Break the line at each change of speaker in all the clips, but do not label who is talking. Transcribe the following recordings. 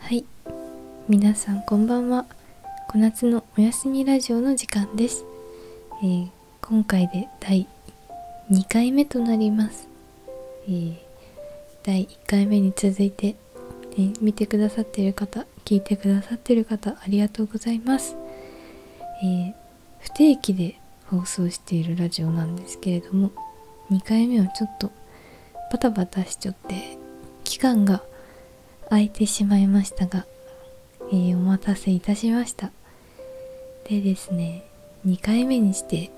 はい皆さんこんばんは小夏のおやすみラジオの時間です、今回で第2回目となります、第1回目に続いて、見てくださってる方聞いてくださってる方ありがとうございます、不定期で放送しているラジオなんですけれども2回目はちょっとバタバタしちょって期間が空いてしまいましたが、えお待たせいたしましたでですね2回目にして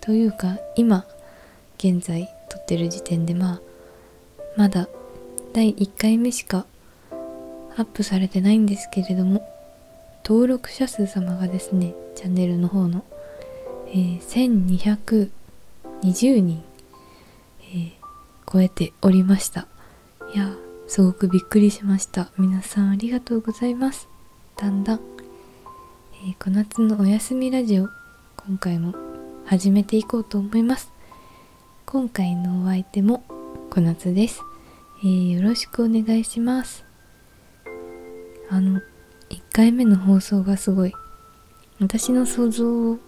というか今現在撮ってる時点でまあまだ第1回目しかアップされてないんですけれども登録者数様がですねチャンネルの方のえ1220人、え超えておりましたいやすごくびっくりしました皆さんありがとうございますだんだん、え小夏のおやみラジオ今回も始めていこうと思います今回のお相手も小夏です、えよろしくお願いしますあの1回目の放送がすごい私の想像を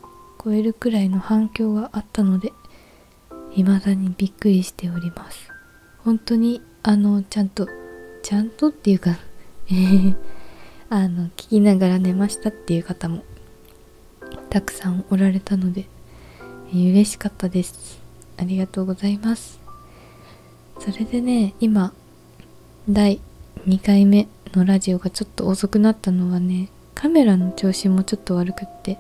超えるくらいの反響があったので未だにびっくりしております本当にあのちゃんとちゃんとっていうかえ、あの聞きながら寝ましたっていう方もたくさんおられたので嬉しかったですありがとうございますそれでね今第2回目のラジオがちょっと遅くなったのはねカメラの調子もちょっと悪くって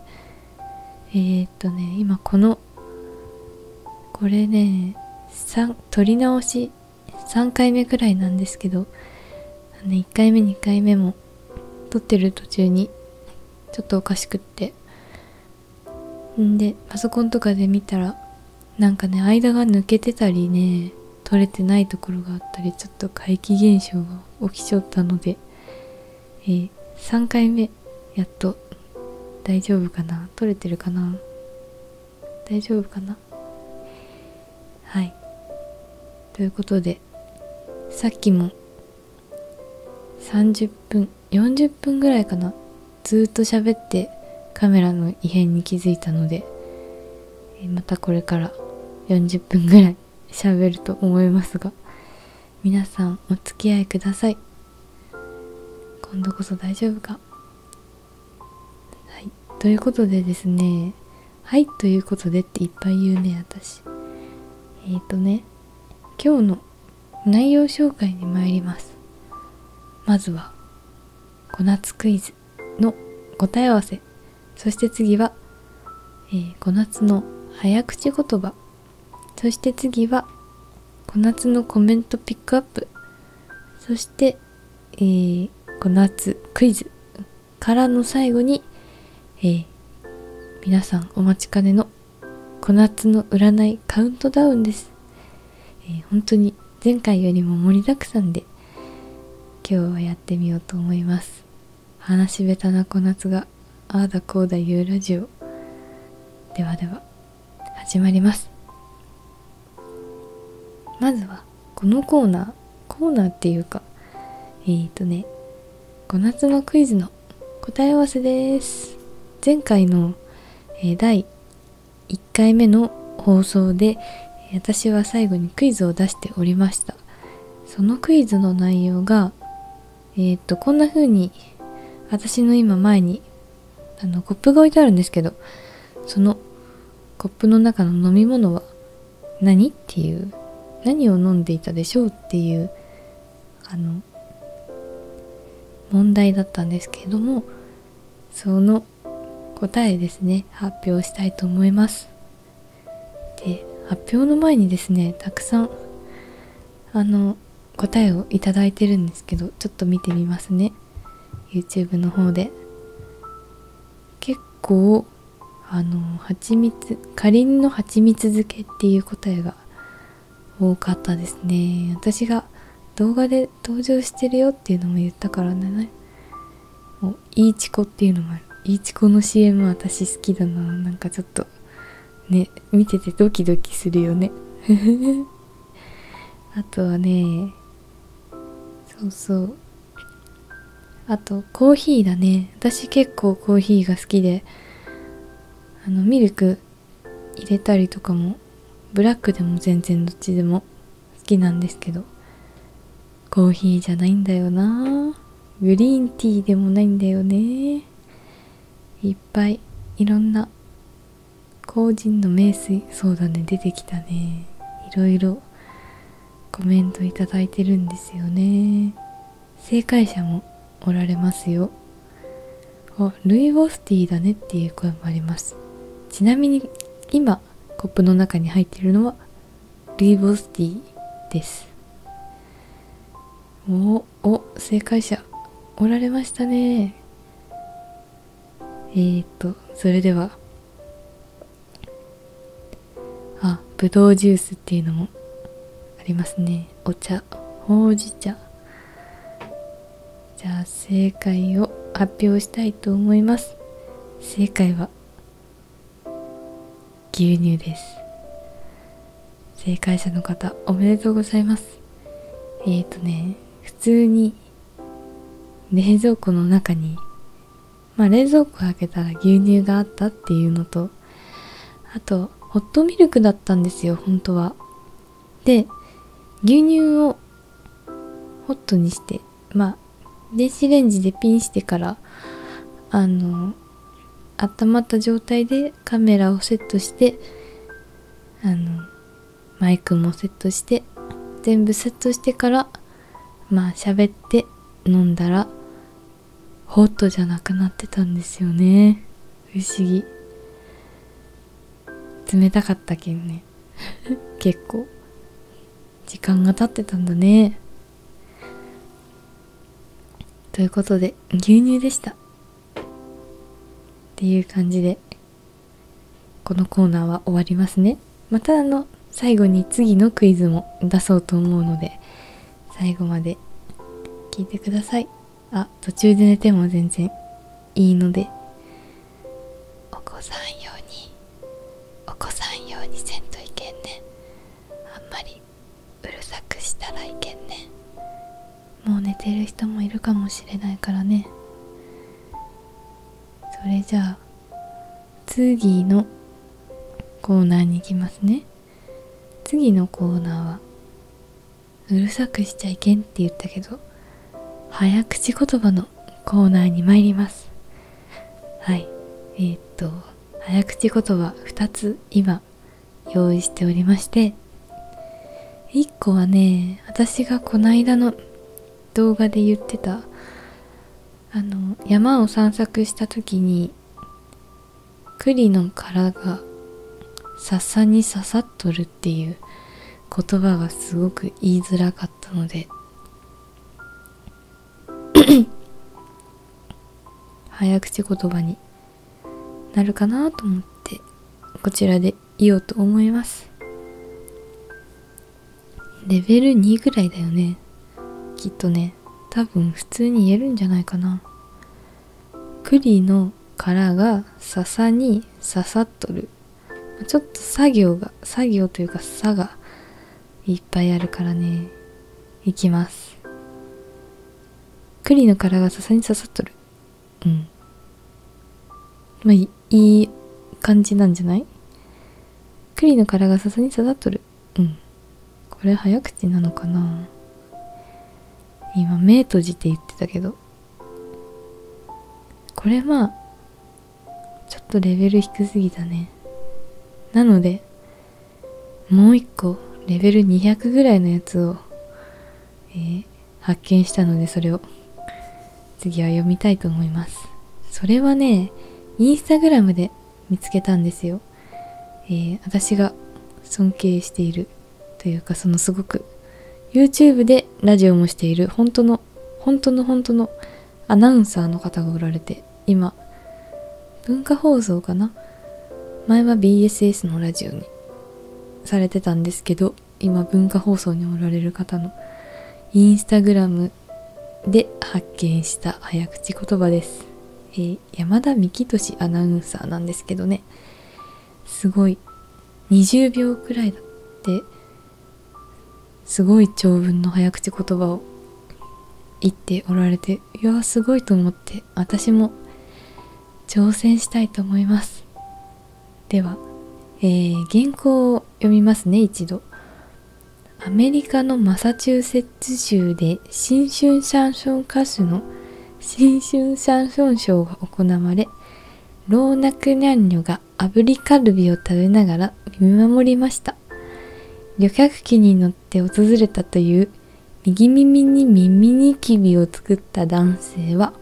えっとね今このこれね撮り直し3回目くらいなんですけど、ね、1回目2回目も撮ってる途中にちょっとおかしくってんでパソコンとかで見たらなんかね間が抜けてたりね取れてないところがあったりちょっと怪奇現象が起きちゃったので、え3回目やっと大丈夫かな取れてるかな大丈夫かなはいということでさっきも30分40分ぐらいかなずっと喋ってカメラの異変に気づいたので、えまたこれから40分ぐらいしゃべると思いますが皆さんお付き合いください今度こそ大丈夫かはいということでですねはいということでっていっぱい言うね私えっ、とね今日の内容紹介に参りますまずは小夏クイズの答え合わせそして次は、え小夏の早口言葉そして次は小夏のコメントピックアップそして、え小夏クイズからの最後に、え皆さんお待ちかねの小夏の占いカウントダウンですえー、本当に前回よりも盛りだくさんで今日はやってみようと思います話べたな小夏がああだこうだ言うラジオではでは始まりますまずはこのコーナーコーナーっていうかえっとね小夏のクイズの答え合わせです前回の、え1回目の放送で私は最後にクイズを出しておりましたそのクイズの内容がえっとこんな風に私の今前にあのコップが置いてあるんですけどそのコップの中の飲み物は何っていう何を飲んでいたでしょうっていうあの問題だったんですけれどもその答えですね発表したいと思いますで発表の前にですねたくさんあの答えを頂いてるんですけどちょっと見てみますね YouTube の方で結構あの蜂蜜かりんの蜂蜜漬けっていう答えが多かったですね私が動画登場してるよっていうのも言ったからねういいチコっていうのもあるいいチコの CM 私好きだななんかちょっとね見ててドキドキするよね あとはねそうそうあとコーヒーだね私結構コーヒーが好きであのミルク入れたりとかもブラックでも全然どっちでも好きなんですけどコーヒーじゃないんだよなグリーンティーでもないんだよねいっぱいいろんな個人の名水そうだね出てきたねいろいろコメントいただいてるんですよね正解者もおられますよおルイボスティーだねっていう声もありますちなみに今コップの中に入っているのはルイボスティーですおお正解者おられましたねえー、っとそれではあぶどうジュースっていうのもありますねお茶ほうじ茶じゃあ正解を発表したいと思います正解は牛乳です正解者の方おめでとうございますえー、とね普通に冷蔵庫の中にまあ冷蔵庫開けたら牛乳があったっていうのとあとホットミルクだったんですよ本当はで牛乳をホットにしてまあ電子レンジでピンしてからあの温まった状態でカメラをセットしてあのマイクもセットして全部セットしてからまあ喋って飲んだらホットじゃなくなってたんですよね不思議冷たかったけんね 結構時間が経ってたんだねということで牛乳でしたっていう感じでこのコーナーは終わりますねまたあの最後に次のクイズも出そうと思うので最後まで聞いてくださいあ途中で寝ても全然いいのでお子さん用にお子さん用にせんといけんねあんまりうるさくしたらいけんねもう寝てる人もいるかもしれないからねそれじゃあ次のコーナーに行きますね次のコーナーはうるさくしちゃいけんって言ったけど早口言葉のコーナーに参りますはいえっと早口言葉2つ今用意しておりまして1個はね私がこないだの動画で言ってたあの山を散策した時に栗の殻が笹に刺さっとるっていう言葉がすごく言いづらかったので 早口言葉になるかなと思ってこちらで言おうと思いますレベル2ぐらいだよねきっとね多分普通に言えるんじゃないかな栗の殻が笹に刺さっとるちょっと作業が作業というか差がいっぱいあるからねいきます栗の殻がさ笹に刺さっとるうんまあいい感じなんじゃない栗の殻がさに刺さっとるうんこれ早口なのかな今目閉じて言ってたけどこれはちょっとレベル低すぎたねなのでもう一個レベル200ぐらいのやつを、え発見したのでそれを次は読みたいと思いますそれはねインスタグラムで見つけたんですよ、私が尊敬しているというかそのすごく YouTube でラジオもしている本当の本当の本当のアナウンサーの方がおられて今文化放送かな前は BSS のラジオにされてたんですけど今文化放送におられる方のインスタグラムで発見した早口言葉です、え山田幹俊アナウンサーなんですけどねすごい20秒くらいだってすごい長文の早口言葉を言っておられていやすごいと思って私も挑戦したいと思いますでは、え原稿を読みますね一度アメリカのマサチューセッツ州で新春シャンソン歌手の新春シャンソンショーが行われ老若男女が炙りカルビを食べながら見守りました旅客機に乗って訪れたという右耳に耳ニキビを作った男性は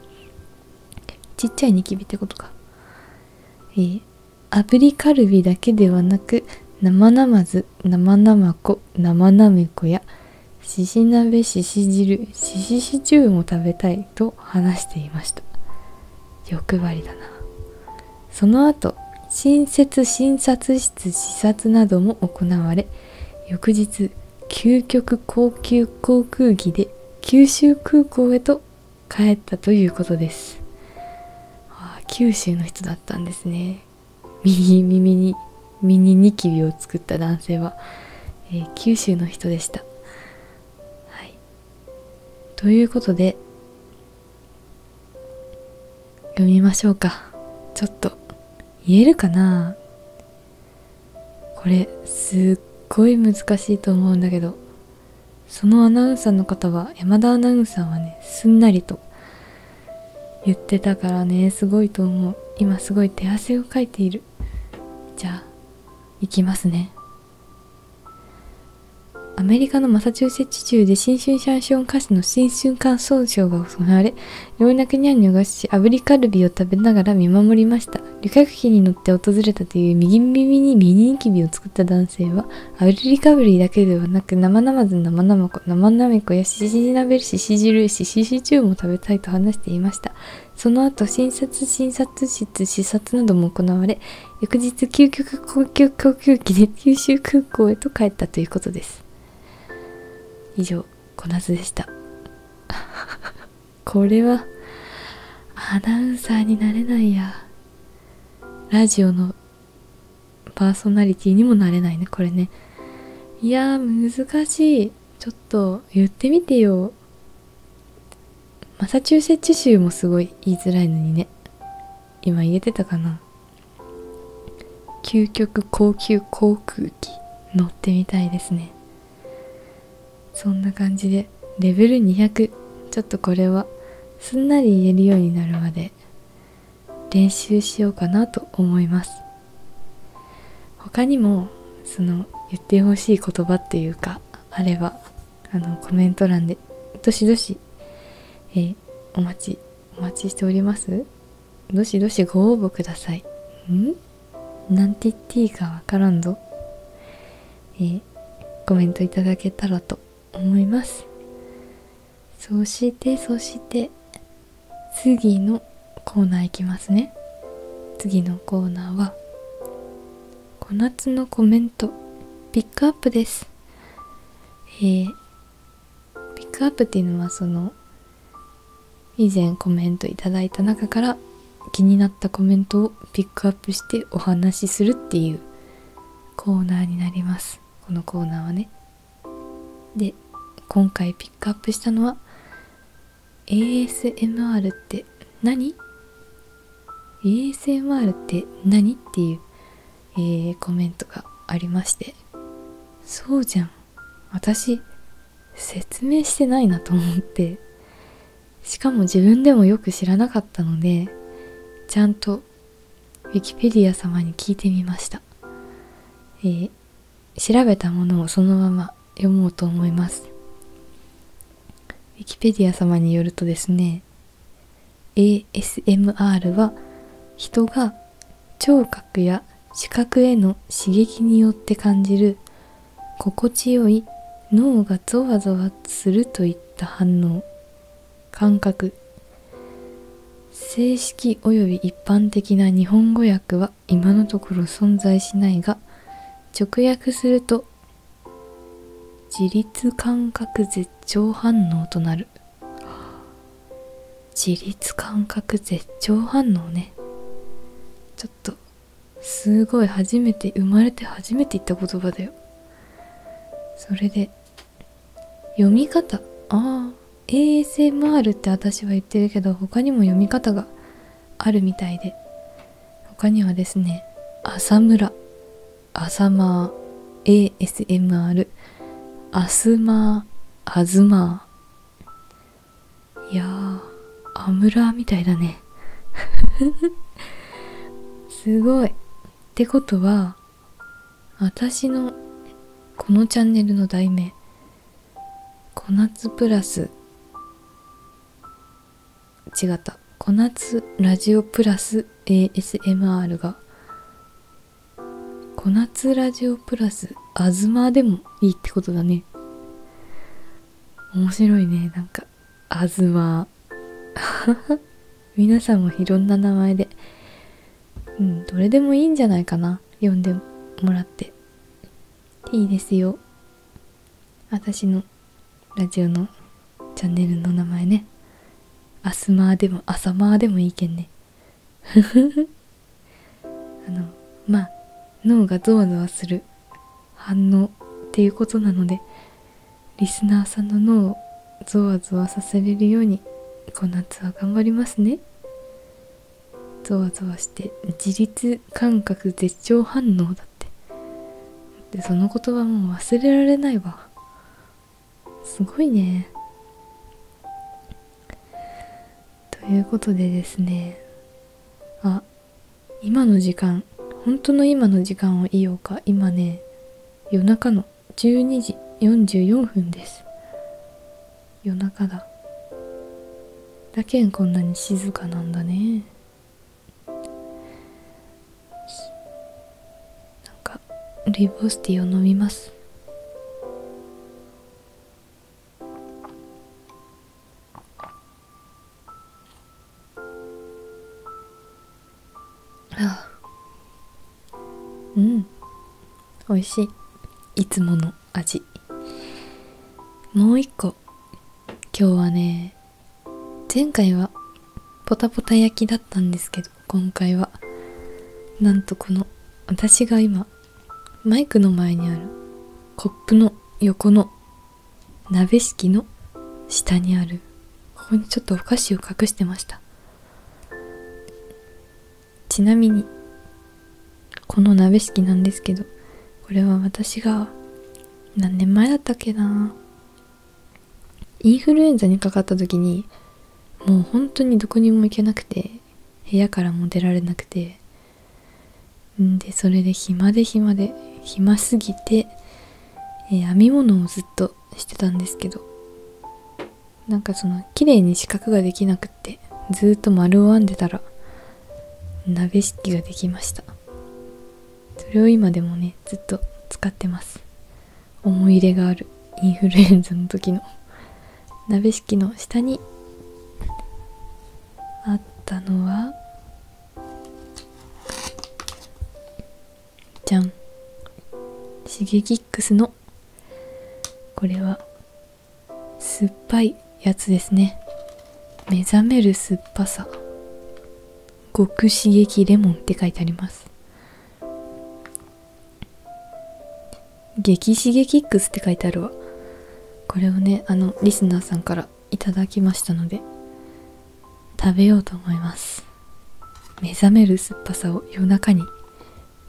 ちっちゃいニキビってことかえー、炙りカルビだけではなく生なまず生なまこ生なめこやしし鍋しし汁ししシチも食べたいと話していました欲張りだなその後新設診察室視察なども行われ翌日究極高級航空機で九州空港へと帰ったということですあ九州の人だったんですね右耳にミニキビを作った男性はえ九州の人でした。はい、ということで読みましょうかちょっと言えるかなこれすっごい難しいと思うんだけどそのアナウンサーの方は山田アナウンサーはねすんなりと言ってたからねすごいと思う今すごい手汗をかいているじゃあ行きますねアメリカのマサチューセッツ州で新春シャンション歌手の新春感想賞が行われ、いろんな国にがし、ア炙リカルビを食べながら見守りました。旅客機に乗って訪れたという右耳にミニニキビを作った男性は、ア炙リカルビだけではなく、生々ず生々こ、生なめこやししじ鍋しし汁、ししし中も食べたいと話していました。その後診察診察室視察なども行われ翌日究極高級航空機で九州空港へと帰ったということです以上こな夏でした これはアナウンサーになれないやラジオのパーソナリティにもなれないねこれねいや難しいちょっと言ってみてよマサチューセッツ州もすごい言いづらいのにね今言えてたかな究極高級航空機乗ってみたいですねそんな感じでレベル200ちょっとこれはすんなり言えるようになるまで練習しようかなと思います他にもその言ってほしい言葉っていうかあればあのコメント欄でどしどし、えお待ちお待ちしておりますどしどしご応募くださいん何んて言っていいかわからんぞえコメントいただけたらと思いますそしてそして次のコーナーいきますね次のコーナーは小夏のコメントピックアップですえピックアップっていうのはその以前コメントいただいた中から気になったコメントをピックアップしてお話しするっていうコーナーになりますこのコーナーはねで今回ピックアップしたのは ASMR って何 ?ASMR って何っていう、えコメントがありましてそうじゃん私説明してないなと思ってしかも自分でもよく知らなかったのでちゃんとウィキペディア様に聞いてみました、え調べたものをそのまま読もうと思います。ウィキペディア様によるとですね、ASMR は人が聴覚や視覚への刺激によって感じる心地よい脳がゾワゾワするといった反応感覚正式および一般的な日本語訳は今のところ存在しないが直訳すると自律感覚絶頂反応となる自律感覚絶頂反応ねちょっとすごい初めて生まれて初めて言った言葉だよそれで読み方ああ ASMR って私は言ってるけど他にも読み方があるみたいで他にはですね浅村浅間 ASMR あすまあずま。いやあ、アムラみたいだね すごいってことは私のこのチャンネルの題名小夏プラス違った小夏ラジオプラス ASMR が小夏ラジオプラスあずまでもいいってことだね面白いねなんかアずま 皆さんもいろんな名前でうんどれでもいいんじゃないかな呼んでもらっていいですよ私のラジオのチャンネルの名前ねアスマーでもアサマーでもいいけんね あのまあ脳がゾワゾワする反応っていうことなのでリスナーさんの脳をゾワゾワさせれるようにこの夏は頑張りますねゾワゾワして自律感覚絶頂反応だってでその言葉もう忘れられないわすごいねということでですねあ今の時間本当の今の時間を言おうか今ね夜中の12時44分です夜中だだけんこんなに静かなんだねなんかリボスティーを飲みますあうん美味しいいつもの味もう一個今日はね前回はポタポタ焼きだったんですけど今回はなんとこの私が今マイクの前にあるコップの横の鍋敷きの下にあるここにちょっとお菓子を隠してましたちなみにこの鍋敷きなんですけどこれは私が何年前だったっけなインフルエンザにかかった時にもう本当にどこにも行けなくて部屋からも出られなくてんでそれで暇で暇で暇すぎて、え編み物をずっとしてたんですけどなんかその綺麗に四角ができなくくずっと丸を編んでたら鍋敷きができましたそれを今でもねずっと使ってます思い入れがあるインフルエンザの時の鍋敷きの下にあったのはじゃんシゲキックスのこれは酸っぱいやつですね目覚める酸っぱさ極刺激レモンって書いてあります激刺激ックスって書いてあるわこれをねあのリスナーさんからいただきましたので食べようと思います目覚める酸っぱさを夜中に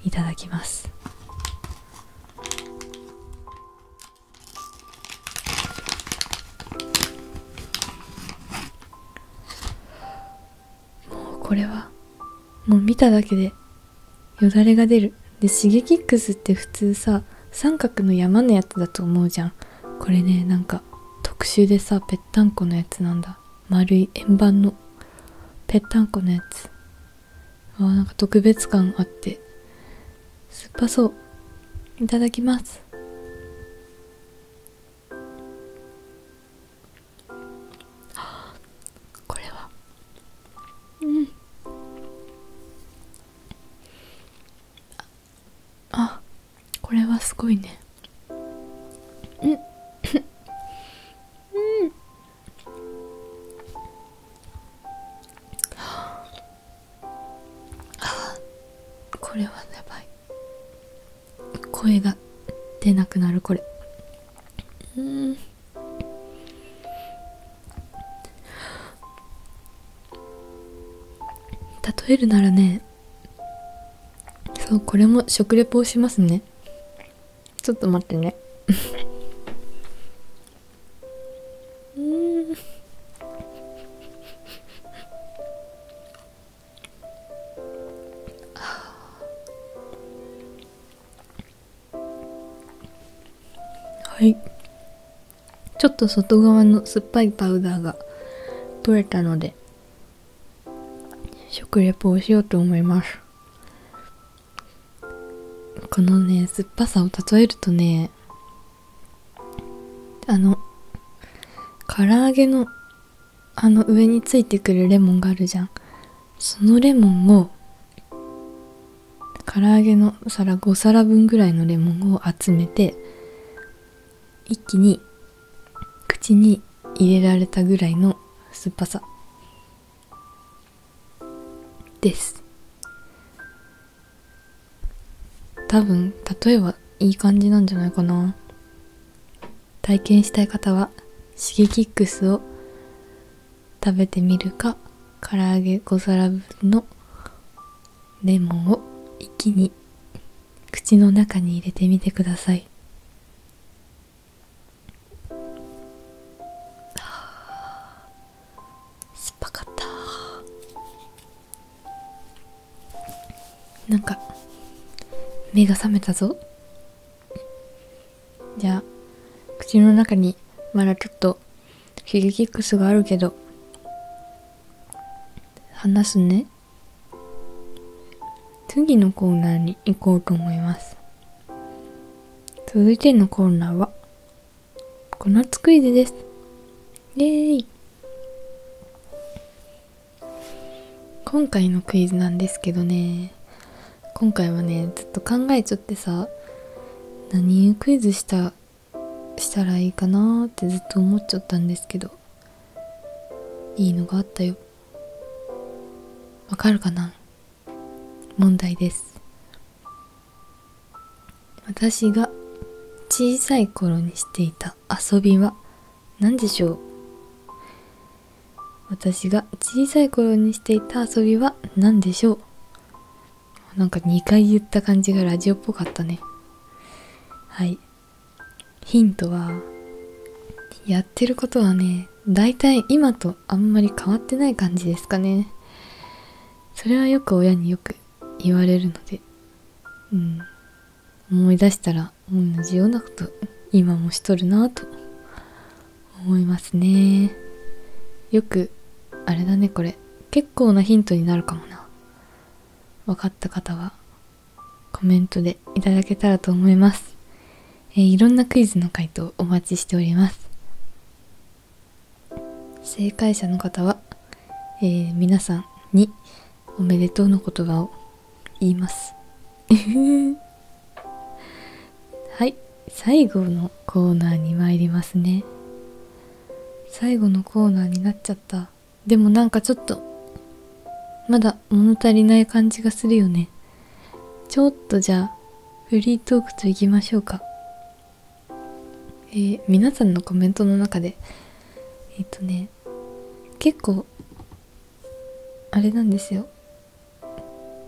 いただきますもうこれはもう見ただけでよだれが出るで Shigekix って普通さ三角の山のやつだと思うじゃんこれねなんか特殊でさぺったんこのやつなんだ丸い円盤のぺったんこのやつあなんか特別感あって酸っぱそういただきますあ。これはうんあこれはすごいねうんうんああこれはやばい声が出なくなるこれうん例えるならねそうこれも食レポをしますねちょっと待ってねちょっと外側の酸っぱいパウダーが取れたので食レポをしようと思いますこのね、酸っぱさを例えるとね、あの、唐揚げの、あの上についてくるレモンがあるじゃん。そのレモンを、唐揚げの皿5皿分ぐらいのレモンを集めて、一気に口に入れられたぐらいの酸っぱさ。です多分例えばいい感じなんじゃないかな体験したい方はシゲキックスを食べてみるか唐揚げ5皿分のレモンを一気に口の中に入れてみてくださいあ酸っぱかったなんか目が覚めたぞじゃあ口の中にまだちょっとヒゲキックスがあるけど話すね次のコーナーに行こうと思います続いてのコーナーは、コナツクイズです。イェーイ今回のクイズなんですけどね、今回はね、ずっと考えちゃってさ、何クイズしたしたらいいかなってずっと思っちゃったんですけどいいのがあったよわかるかな問題です私が小さい頃にしていた遊びは何でしょう私が小さい頃にしていた遊びは何でしょうなんか2回言った感じがラジオっぽかったねはいヒントはやってることはね大体今とあんまり変わってない感じですかねそれはよく親によく言われるのでうん思い出したら同じようなこと今もしとるなと思いますねよくあれだねこれ結構なヒントになるかもな分かった方はコメントでいただけたらと思いますえいろんなクイズの回答をお待ちしております正解者の方は、え皆さんにおめでとうの言葉を言います はい最後のコーナーに参りますね最後のコーナーになっちゃったでもなんかちょっとまだ物足りない感じがするよねちょっとじゃあフリートークといきましょうかえ皆さんのコメントの中でえっ、とね結構あれなんですよ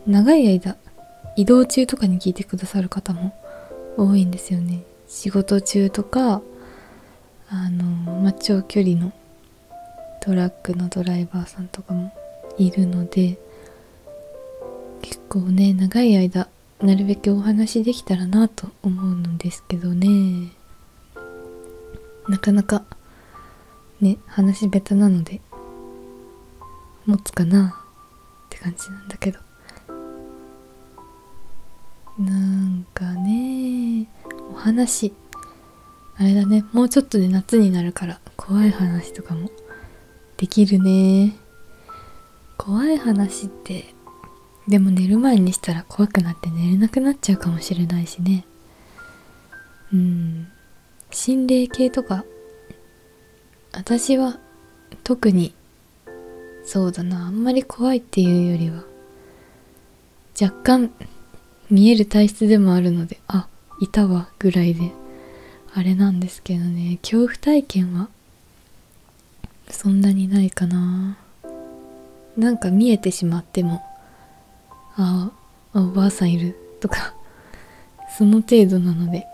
長い間移動中とかに聞いてくださる方も多いんですよね仕事中とかあの、ま長距離のトラックのドライバーさんとかもいるので結構ね長い間なるべくお話できたらなと思うんですけどねなかなかね話下手なので持つかなって感じなんだけどなんかねお話あれだねもうちょっとで夏になるから怖い話とかもできるね怖い話ってでも寝る前にしたら怖くなって寝れなくなっちゃうかもしれないしねうん心霊系とか私は特にそうだなあんまり怖いっていうよりは若干見える体質でもあるのであいたわぐらいであれなんですけどね恐怖体験はそんなにないかななんか見えてしまってもああおばあさんいるとかその程度なので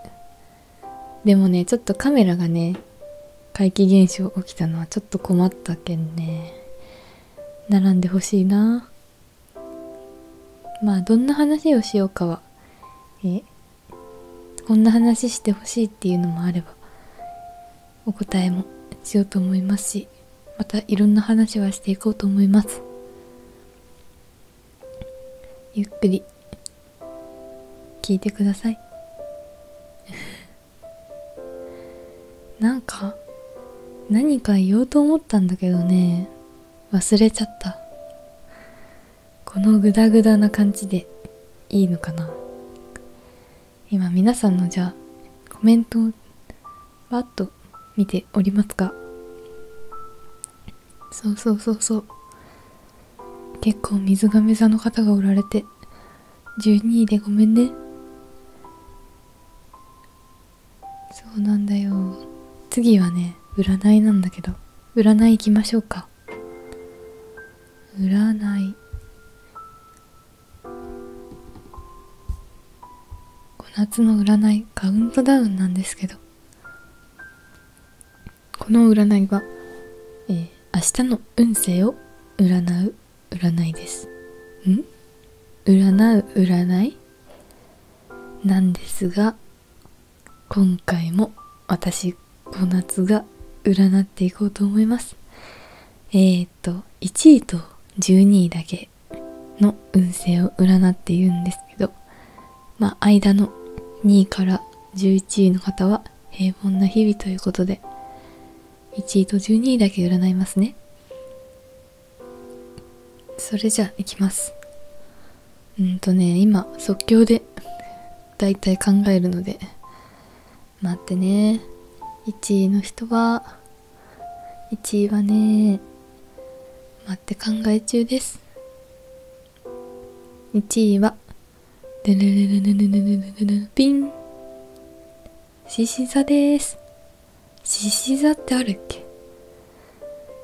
でもねちょっとカメラがね怪奇現象起きたのはちょっと困ったけんね並んでほしいなまあどんな話をしようかはえこんな話してほしいっていうのもあればお答えもしようと思いますしまたいろんな話はしていこうと思いますゆっくり聞いてください なんか何か言おうと思ったんだけどね忘れちゃったこのグダグダな感じでいいのかな今皆さんのじゃあコメントをわっと見ておりますかそうそうそうそう結構水亀座の方がおられて12位でごめんねそうなんだよ次はね占いなんだけど占い行きましょうか占い小夏の占いカウントダウンなんですけどこの占いは、えー、明日の運勢を占う占いですん占う占いなんですが今回も私小夏が占っていこうと思いますえっと1位と12位だけの運勢を占っているんですけど間の2位から11位の方は平凡な日々ということで1位と12位だけ占いますねそれじゃあいきますうんとね今即興でだいたい考えるので待ってね1位の人は1位はね待って考え中です1位はでピン獅子座です獅子座ってあるっけ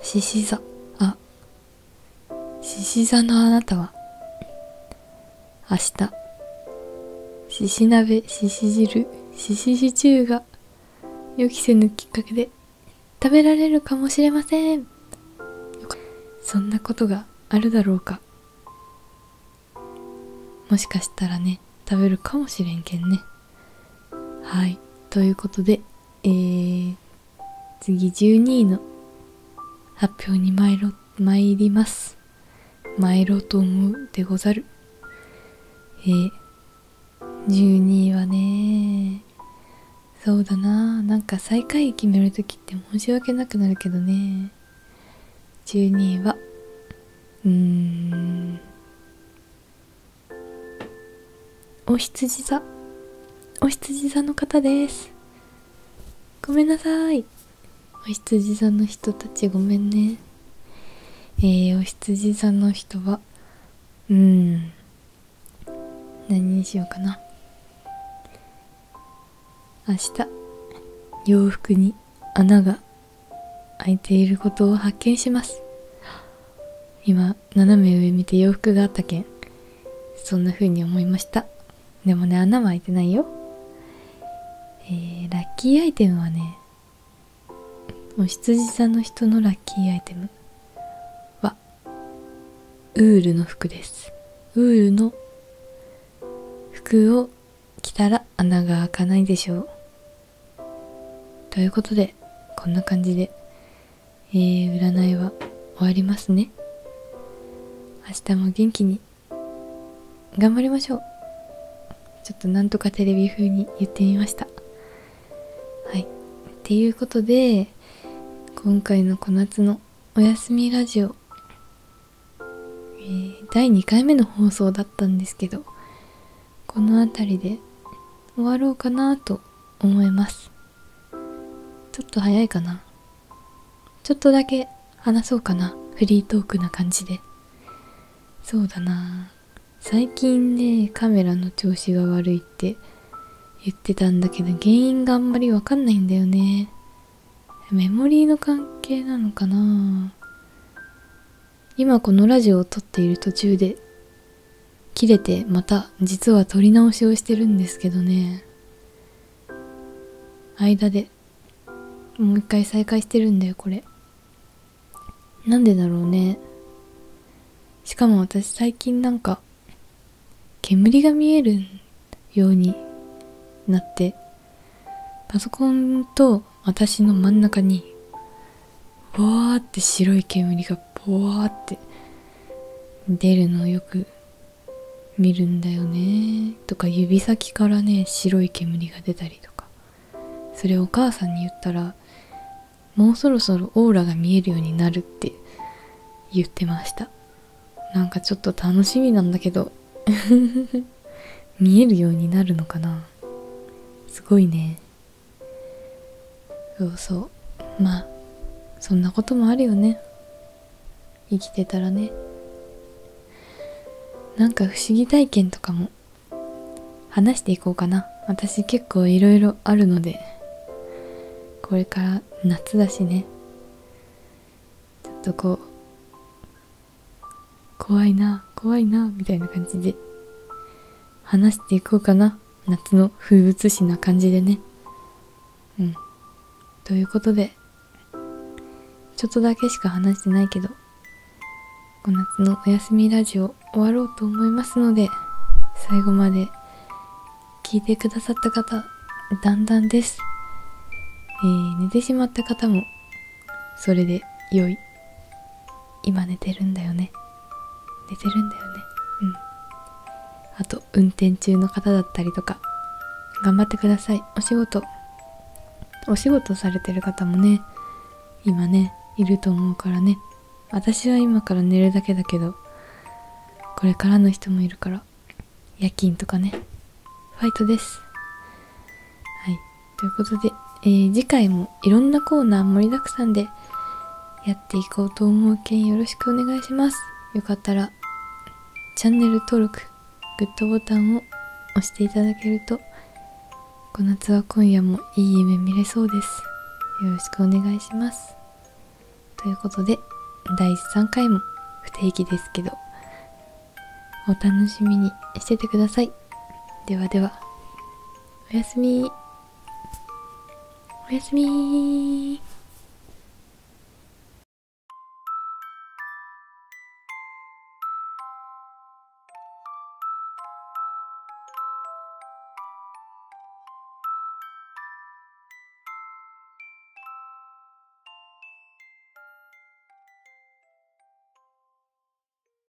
獅子座あ獅子座のあなたは明日獅子鍋獅子汁獅子シチューが予期せぬきっかけで食べられるかもしれませんそんなことがあるだろうかもしかしたらね食べるかもしれんけんねはいということで、え次12位の発表に参ります参ろうと思うでござるえ12位はねそうだななんか最下位決める時って申し訳なくなるけどね12位はうーんお羊座お羊座の方ですごめんなさいお羊座の人たちごめんねえー、お羊座の人はうん何にしようかな明日洋服に穴が開いていることを発見します今斜め上見て洋服があったけんそんな風に思いましたでもね穴は開いてないよえラッキーアイテムはねもう羊さんの人のラッキーアイテムはウールの服ですウールの服を着たら穴が開かないでしょうということで、こんな感じで、え占いは終わりますね。明日も元気に、頑張りましょう。ちょっとなんとかテレビ風に言ってみました。はい。っていうことで、今回の小夏のおやすみラジオ、え第2回目の放送だったんですけど、この辺りで終わろうかなと思いますちょっと早いかなちょっとだけ話そうかなフリートークな感じでそうだな最近ねカメラの調子が悪いって言ってたんだけど原因があんまりわかんないんだよねメモリーの関係なのかな今このラジオを撮っている途中で切れてまた実は撮り直しをしてるんですけどね間でもう一回再開してるんだよこれなんでだろうねしかも私最近なんか煙が見えるようになってパソコンと私の真ん中にぼワーって白い煙がぼワーって出るのをよく見るんだよねとか指先からね白い煙が出たりとかそれお母さんに言ったらもうそろそろオーラが見えるようになるって言ってましたなんかちょっと楽しみなんだけど 見えるようになるのかなすごいねそうそうまあそんなこともあるよね生きてたらねなんか不思議体験とかも話していこうかな私結構いろいろあるのでこれから夏だしねちょっとこう怖いな怖いなみたいな感じで話していこうかな夏の風物詩な感じでねうんということでちょっとだけしか話してないけどこの夏のお休みラジオ終わろうと思いますので最後まで聞いてくださった方だんだんです、え寝てしまった方もそれで良い今寝てるんだよね寝てるんだよねうんあと運転中の方だったりとか頑張ってくださいお仕事お仕事されてる方もね今ねいると思うからね私は今から寝るだけだけどこれからの人もいるから夜勤とかねファイトですはいということで、え次回もいろんなコーナー盛りだくさんでやっていこうと思うけんよろしくお願いします。よかったらチャンネル登録、グッドボタンを押していただけるとこの夏は今夜もいい夢見れそうです。よろしくお願いします。ということで第3回も不定期ですけどお楽しみにしててください。ではでは。おやすみおやすみ